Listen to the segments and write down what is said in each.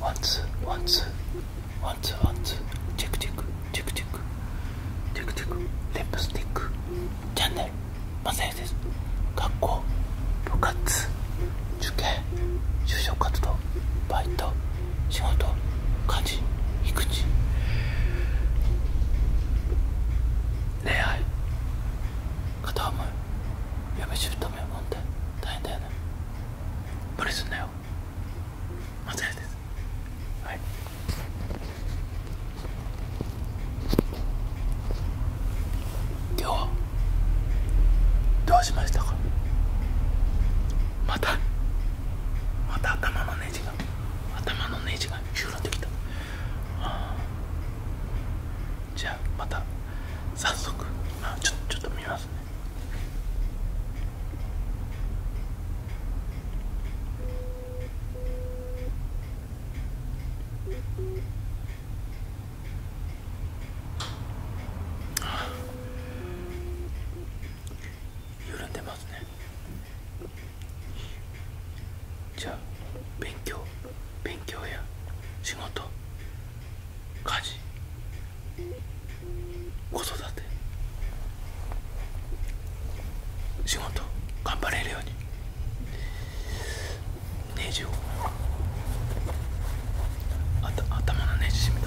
ワンツーワンツーワンツーワンツーチェックチェックチェックチェックチェックチェックリップスティックチャンネルマサヤです学校部活受験就職活動バイト仕事家事育児恋愛片思い嫁姑問題大変だよね無理すんなよ松屋ですはい今はどうしましたかまたまた頭のネジが頭のネジがシューきたあじゃあまた早速ちょちょっと見ますね緩んでますねじゃあ勉強勉強や仕事家事子育て仕事頑張れるようにネジを頭のネジ締めと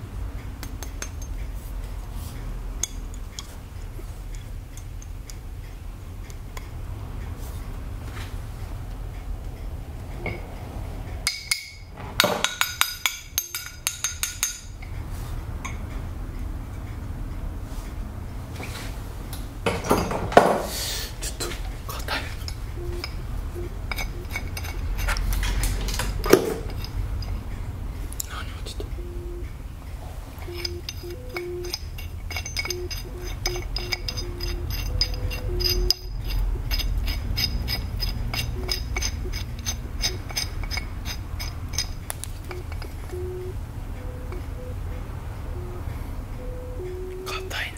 ちょっと硬い。何落ちた硬いね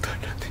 くだらね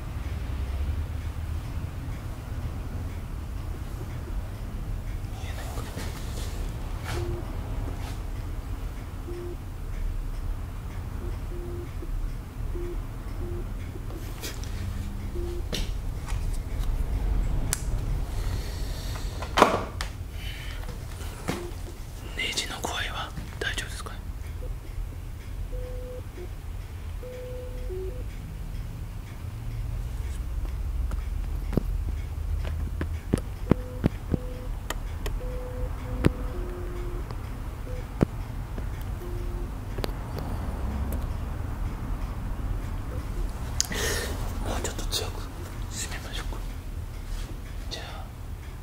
ネジの具合は大丈夫ですかねもうちょっと強く締めましょうかじゃあ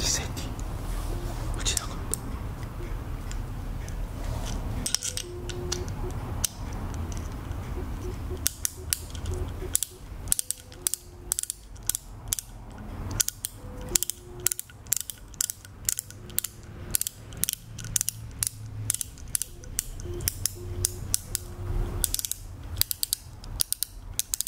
実際に落ちなかった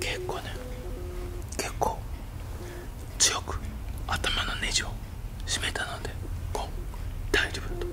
結構ね結構強く頭のネジを締めたのでこう大丈夫だと。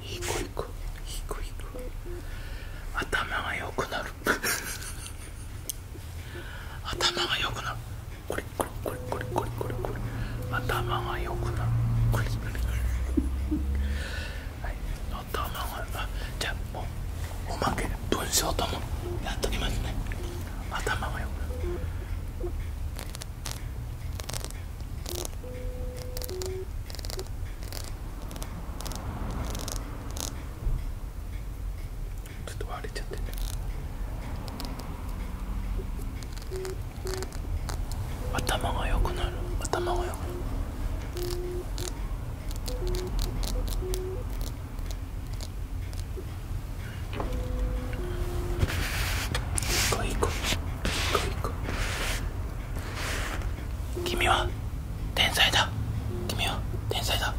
低く低く頭が良くなる 頭が良くなるこれこれこれこれこれこれこれ頭が良くなるこれこれこれはい頭があじゃあもうおまけ文章ともやっときますね頭が良くなるちょっと割れちゃってね頭が良くなる頭が良くなるこいこいこ君は天才だ君は天才だ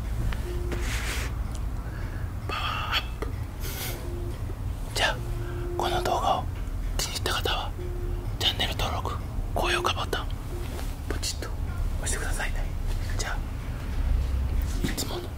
パワーアップじゃあこの動画を気に入った方はチャンネル登録高評価ボタンポチッと押してくださいねじゃあいつもの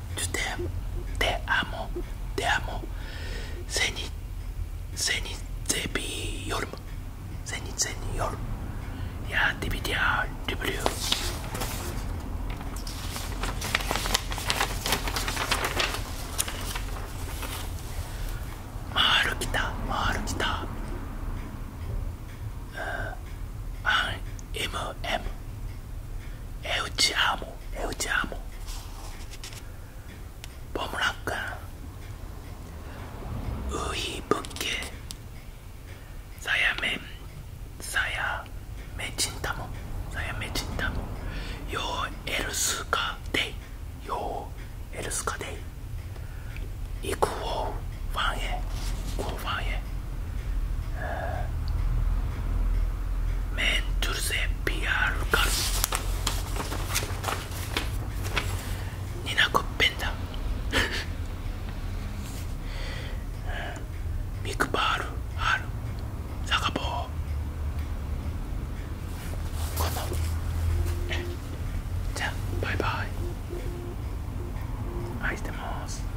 te, te amo, te amo. Seni, seni seviyorum. Seni seviyorum. Ya dibidiyor, dibiliyor. Mağarı kita, mağarı kita. An, M, M. Euci amo. amo eu te amo Vamos lá, cara. Ui, porque Saya me Saya me chintamo Saya me chintamo Yo else ka day Yo else ka day 行くをファンへ行くをファンへ mentirse PR Carlos Nina Coppenda Big Bar Har Sakabo このじゃあバイバイ愛してます